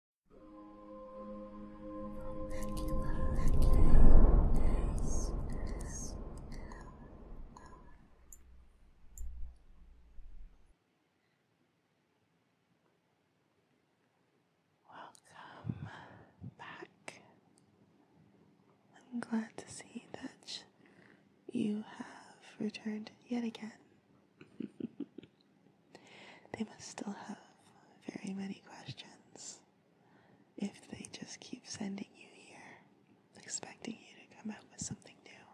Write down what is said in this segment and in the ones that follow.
Welcome back. I'm glad to see that you have returned yet again they must still have very many questions if they just keep sending you here, expecting you to come out with something new.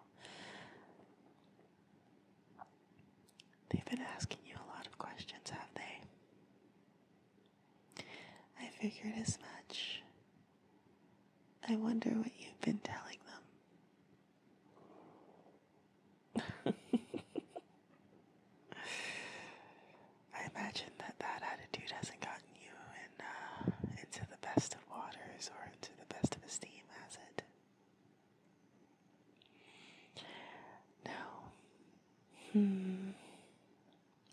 They've been asking you a lot of questions, have they? I figured as much. I wonder what you've been telling them. I imagine that that attitude hasn't gotten you uh, into the best of waters or into the best of esteem, has it? No. Hmm.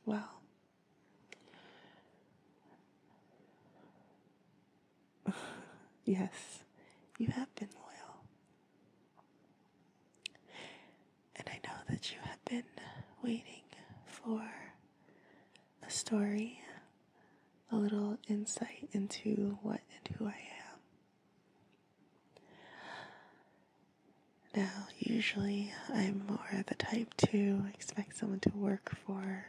Well. yes, you have been loyal. And I know that you have been waiting for a story, a little insight into what and who I am. Now, usually I'm more the type to expect someone to work for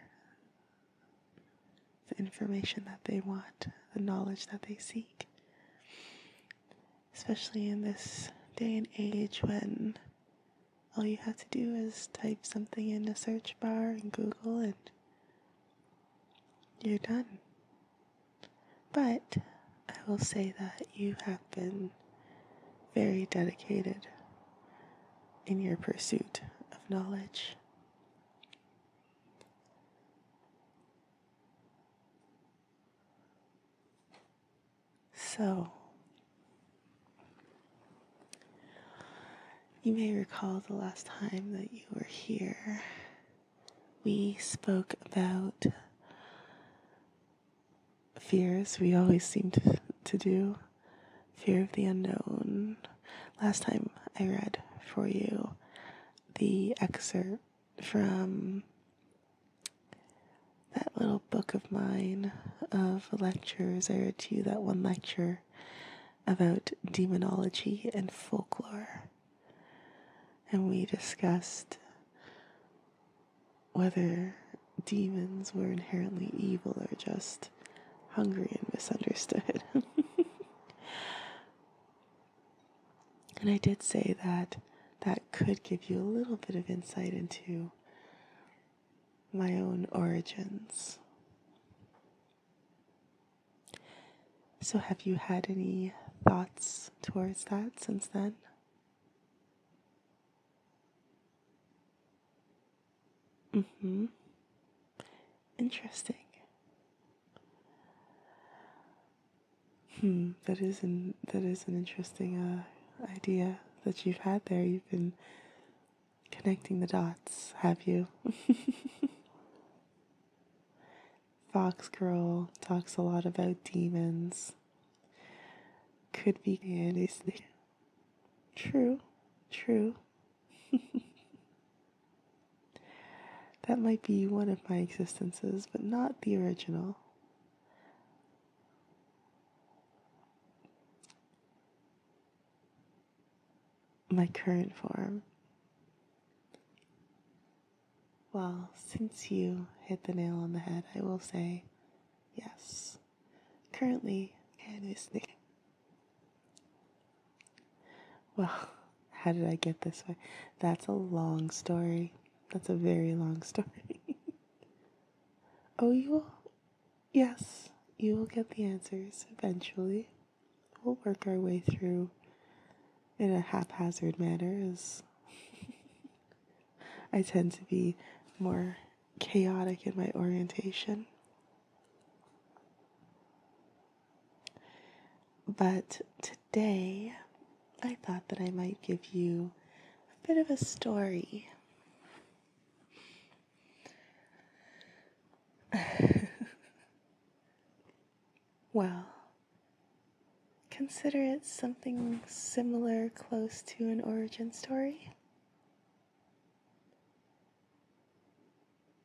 the information that they want, the knowledge that they seek. Especially in this day and age when all you have to do is type something in the search bar in Google and you're done. But I will say that you have been very dedicated in your pursuit of knowledge. So, you may recall the last time that you were here, we spoke about fears. We always seem to, to do fear of the unknown. Last time I read for you the excerpt from that little book of mine of lectures. I read to you that one lecture about demonology and folklore. And we discussed whether demons were inherently evil or just hungry and misunderstood. And I did say that that could give you a little bit of insight into my own origins. So, have you had any thoughts towards that since then? Mm hmm. Interesting. Hmm, that is an that is an interesting uh, idea that you've had there. You've been connecting the dots, have you? Fox Girl talks a lot about demons. Could be and is true, true. that might be one of my existences, but not the original. My current form. Well, since you hit the nail on the head, I will say yes. Currently, and is well, how did I get this way? That's a long story. That's a very long story. oh, you will? Yes, you will get the answers eventually. We'll work our way through in a haphazard manner, as I tend to be more chaotic in my orientation. But today, I thought that I might give you a bit of a story. well, consider it something similar, close to an origin story.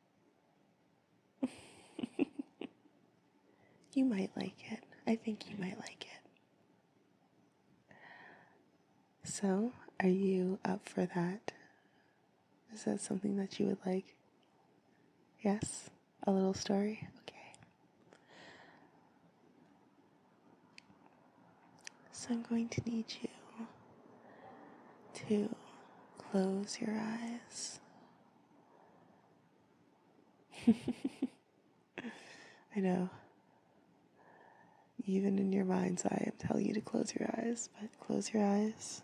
you might like it. I think you might like it. So, are you up for that? Is that something that you would like? Yes? A little story? Okay. So, I'm going to need you to close your eyes. I know. Even in your mind's eye, I'm telling you to close your eyes, but close your eyes.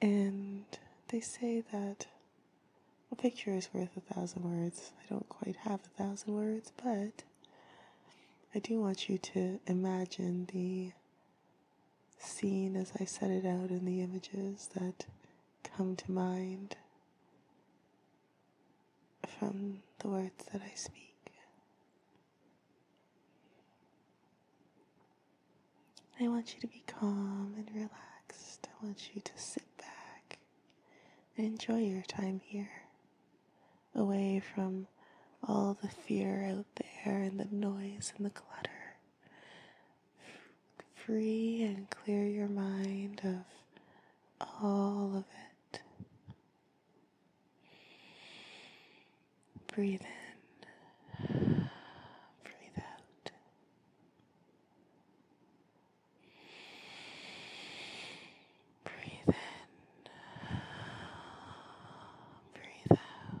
And they say that a picture is worth a thousand words. I don't quite have a thousand words, but I do want you to imagine the scene as I set it out in the images that come to mind from the words that I speak. I want you to be calm and relaxed. I want you to sit back and enjoy your time here away from all the fear out there and the noise and the clutter. Free and clear your mind of all of it. Breathe in. Breathe out. Breathe in, breathe out.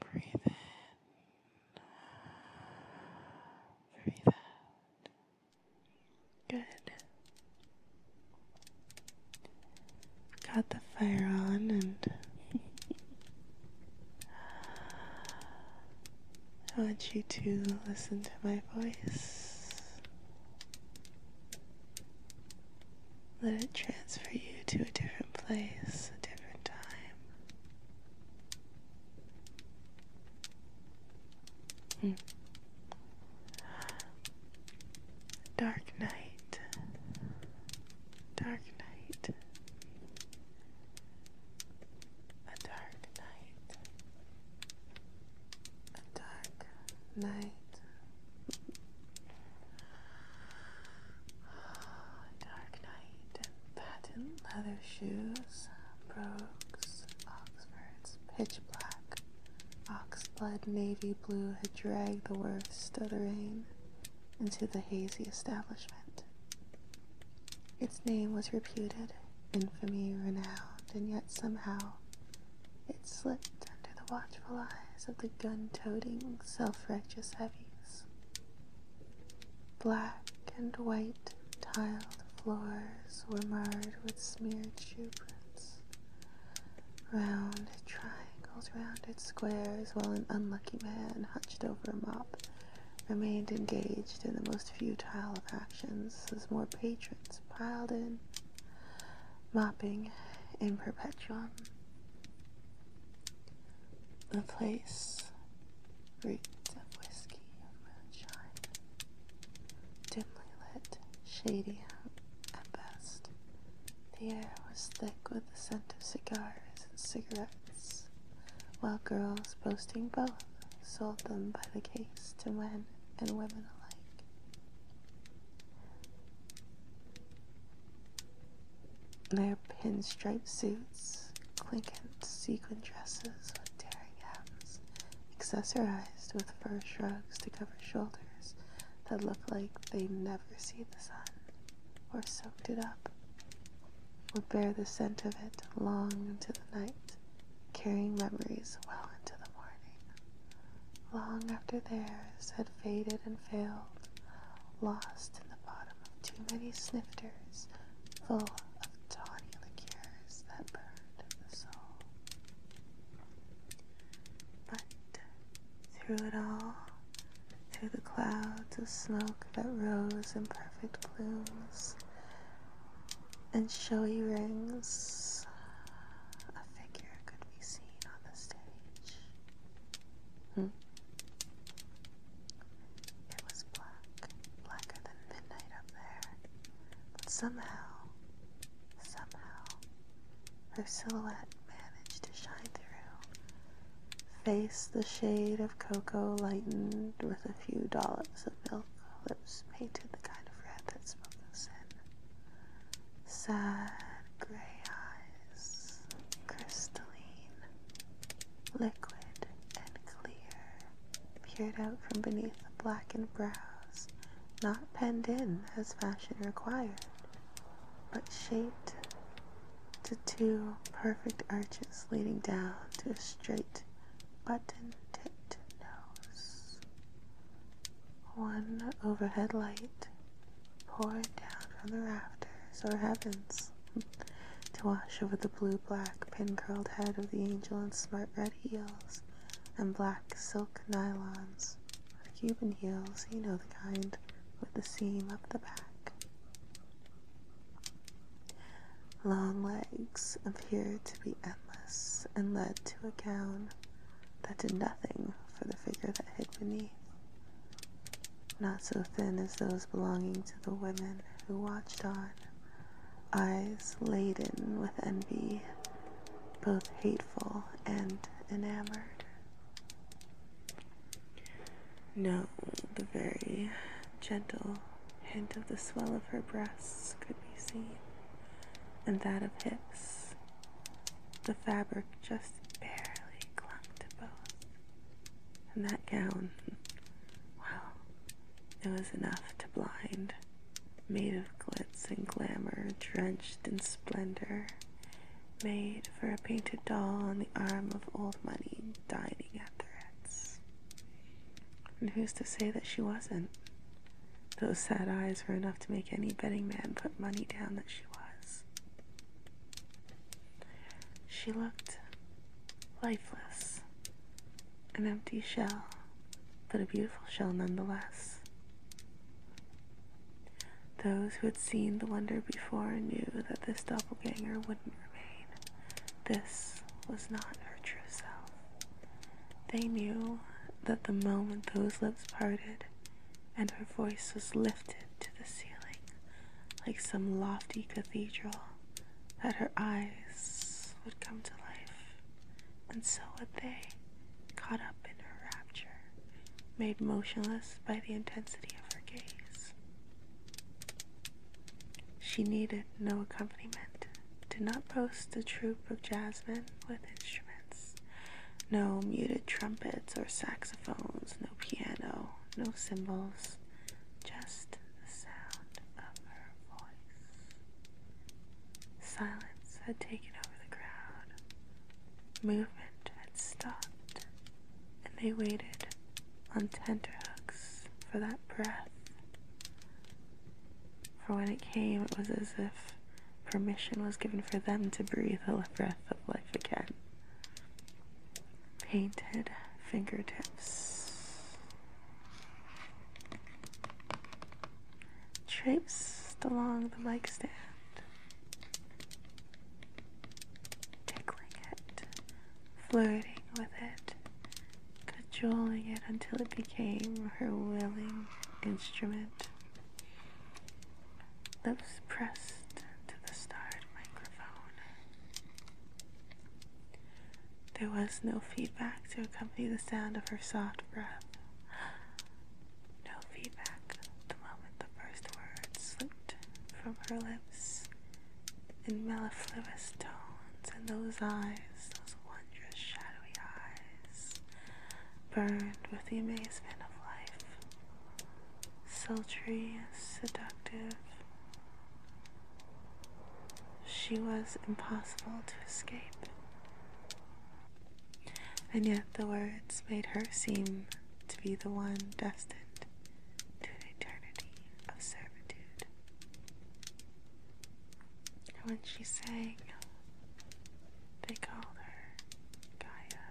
Breathe in, breathe out. Good. Got the fire on and I want you to listen to my voice. Let it transfer you to a different place, a different time. Hmm. Dark night. Dark night. A dark night. A dark night. dark night and patent leather shoes, brogues, Oxfords, pitch black, oxblood navy blue had dragged the worst of the rain into the hazy establishment. Its name was reputed, infamy renowned, and yet somehow it slipped under the watchful eyes of the gun toting, self righteous heavies. Black and white tiled floors were marred with smeared shoeprints prints, round triangles, rounded squares, while an unlucky man hunched over a mop remained engaged in the most futile of actions as more patrons piled in, mopping in perpetuum. The place reeked of whiskey and moonshine, dimly lit, shady at best. The air was thick with the scent of cigars and cigarette while girls boasting both sold them by the case to men and women alike. Their pinstripe suits, clinking sequin dresses with tearing hems, accessorized with fur shrugs to cover shoulders that look like they never see the sun or so it up, would bear the scent of it long into the night, carrying memories well into the morning. Long after theirs had faded and failed, lost in the bottom of too many snifters, full of tawny liquors that burned the soul. But through it all, through the clouds of smoke that rose in perfect plumes and showy rings. A figure could be seen on the stage. Hmm? It was black, blacker than midnight up there, but somehow, somehow, her silhouette managed to shine through Face the shade of cocoa lightened with a few dollops of milk. Lips painted the kind of red that spoke of sin. Sad gray eyes, crystalline, liquid and clear, peered out from beneath the blackened brows, not penned in as fashion required, but shaped to two perfect arches leading down to a straight buttoned tipped nose. One overhead light poured down from the rafters or heavens to wash over the blue-black pin-curled head of the angel in smart red heels and black silk nylons or Cuban heels, you know the kind, with the seam up the back. Long legs appeared to be endless and led to a gown that did nothing for the figure that hid beneath, not so thin as those belonging to the women who watched on, eyes laden with envy, both hateful and enamored. No, the very gentle hint of the swell of her breasts could be seen, and that of hips. The fabric just barely clung to both. And that gown, well, it was enough to blind, made of glitz and glamour, drenched in splendor, made for a painted doll on the arm of old money dying at threads. And who's to say that she wasn't? Those sad eyes were enough to make any betting man put money down that she was. She looked lifeless, an empty shell, but a beautiful shell nonetheless. Those who had seen the wonder before knew that this doppelganger wouldn't this was not her true self. They knew that the moment those lips parted and her voice was lifted to the ceiling like some lofty cathedral, that her eyes would come to life. And so would they, caught up in her rapture, made motionless by the intensity of her gaze. She needed no accompaniment, did not post a troop of jasmine with instruments, no muted trumpets or saxophones, no piano, no cymbals, just the sound of her voice. Silence had taken over the crowd. Movement movement stopped, and they waited on tenterhooks for that breath. For when it came, it was as if permission was given for them to breathe the breath of life again. Painted fingertips. Traipsed along the mic stand, tickling it, flirting with it, cajoling it until it became her willing instrument. Lips pressed to the starred microphone. There was no feedback to accompany the sound of her soft breath. No feedback the moment the first words slipped from her lips in mellifluous tones, and those eyes, those wondrous shadowy eyes, burned with the amazement of life, sultry, seductive. She was impossible to escape. And yet the words made her seem to be the one destined to an eternity of servitude. And when she sang, they called her Gaia.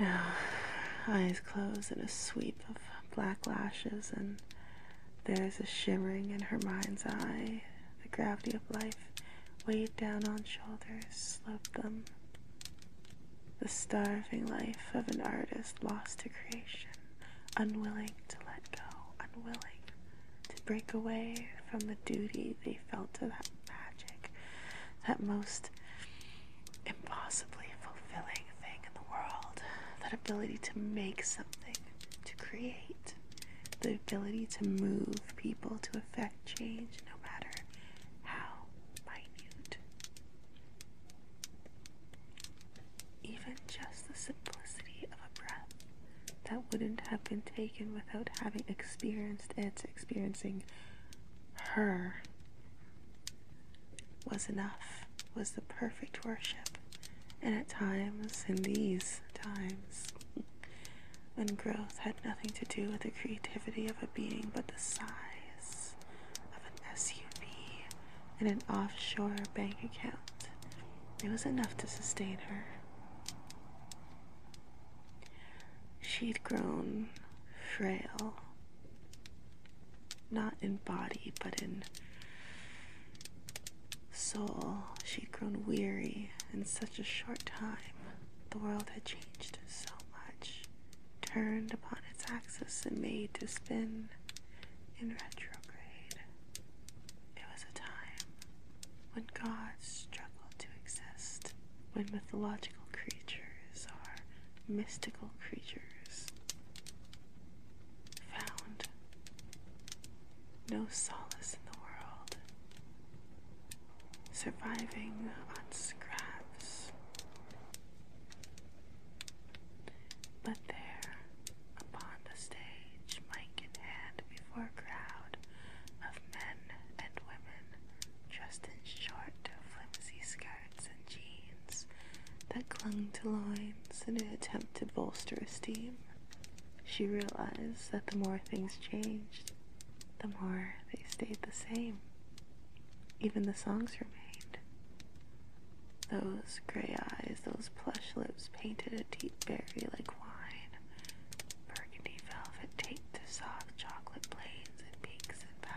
Now, eyes close in a sweep of black lashes, and there's a shimmering in her mind's eye. The gravity of life weighed down on shoulders, sloped them the starving life of an artist lost to creation, unwilling to let go, unwilling to break away from the duty they felt to that magic, that most impossibly fulfilling thing in the world, that ability to make something, to create, the ability to move people, to affect change no matter how minute. Even just the simplicity of a breath that wouldn't have been taken without having experienced it, experiencing her, was enough, was the perfect worship. And at times, in these times, and growth had nothing to do with the creativity of a being but the size of an SUV and an offshore bank account. It was enough to sustain her. She'd grown frail, not in body, but in soul. She'd grown weary in such a short time. The world had changed so much, turned upon its axis and made to spin in retrograde. It was a time when gods struggled to exist, when mythological creatures or mystical creatures found no solace in the world surviving on scraps. But there, upon the stage, mic in hand, before a crowd of men and women dressed in short, flimsy skirts and jeans that clung to lines in an attempt to bolster esteem, she realized that the more things changed, the more they stayed the same. Even the songs remained. Those gray eyes, those plush lips painted a deep berry like wine, burgundy velvet taped soft chocolate plains and peaks and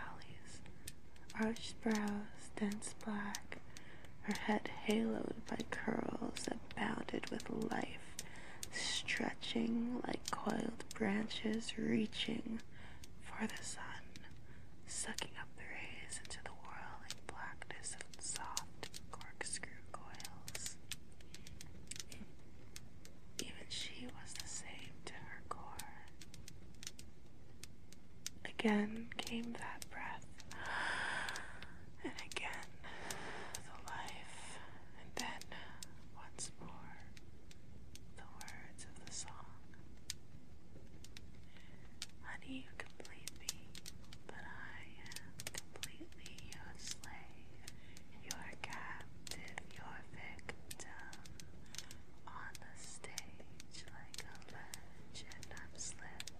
valleys, arched brows dense black, her head haloed by curls that with life, stretching like coiled branches reaching for the sun, sucking up the rays into the whirling blackness of soft corkscrew coils. Even she was the same to her core. Again came that breath, and again the life, and then once more the words of the song. Honey, you complete me, but I am completely your slave, your captive, your victim. On the stage, like a legend, I'm slipping.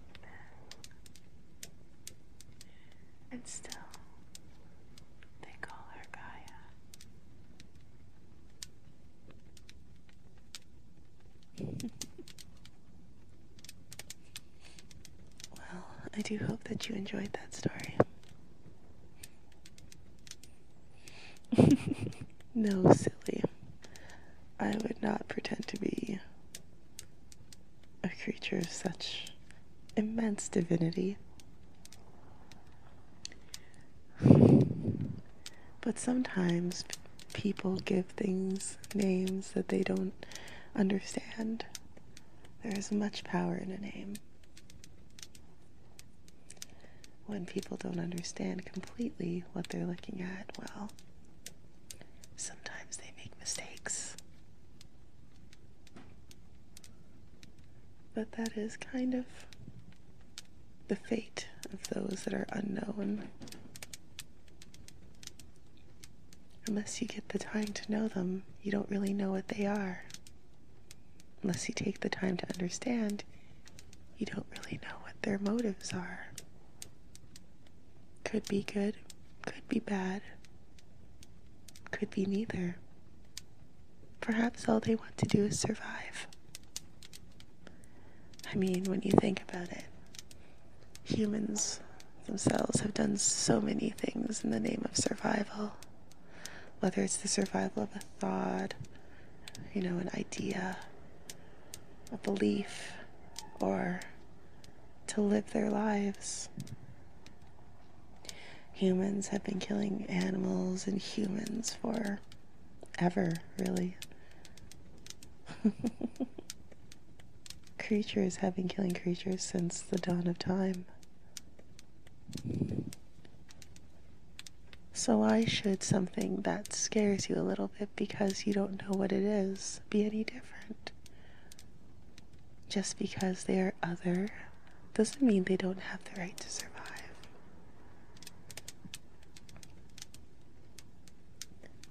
And still, they call her Gaia. well, I do hope that you enjoyed that story. no, silly. I would not pretend to be a creature of such immense divinity. But sometimes people give things names that they don't understand. There is much power in a name. When people don't understand completely what they're looking at, well, sometimes they make mistakes. But that is kind of the fate of those that are unknown. Unless you get the time to know them, you don't really know what they are. Unless you take the time to understand, you don't really know what their motives are. Could be good, could be bad, could be neither. Perhaps all they want to do is survive. I mean, when you think about it, humans themselves have done so many things in the name of survival. Whether it's the survival of a thought, you know, an idea, a belief, or to live their lives. Humans have been killing animals and humans for ever, really. creatures have been killing creatures since the dawn of time. So, why should something that scares you a little bit because you don't know what it is be any different? Just because they are other doesn't mean they don't have the right to survive.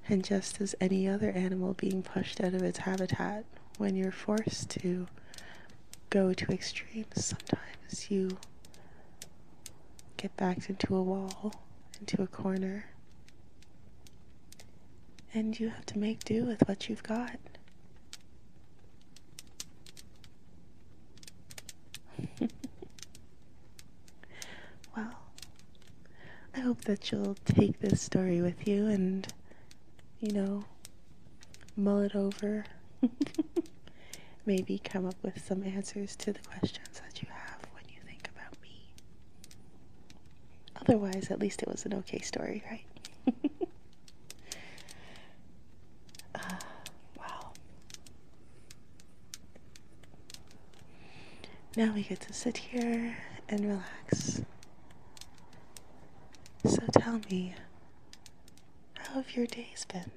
And just as any other animal being pushed out of its habitat, when you're forced to go to extremes, sometimes you get backed into a wall, into a corner, and you have to make do with what you've got well, I hope that you'll take this story with you and, you know, mull it over. Maybe come up with some answers to the questions that you have when you think about me. Otherwise, at least it was an okay story, right? Uh, wow. Now we get to sit here and relax. So tell me, how have your days been?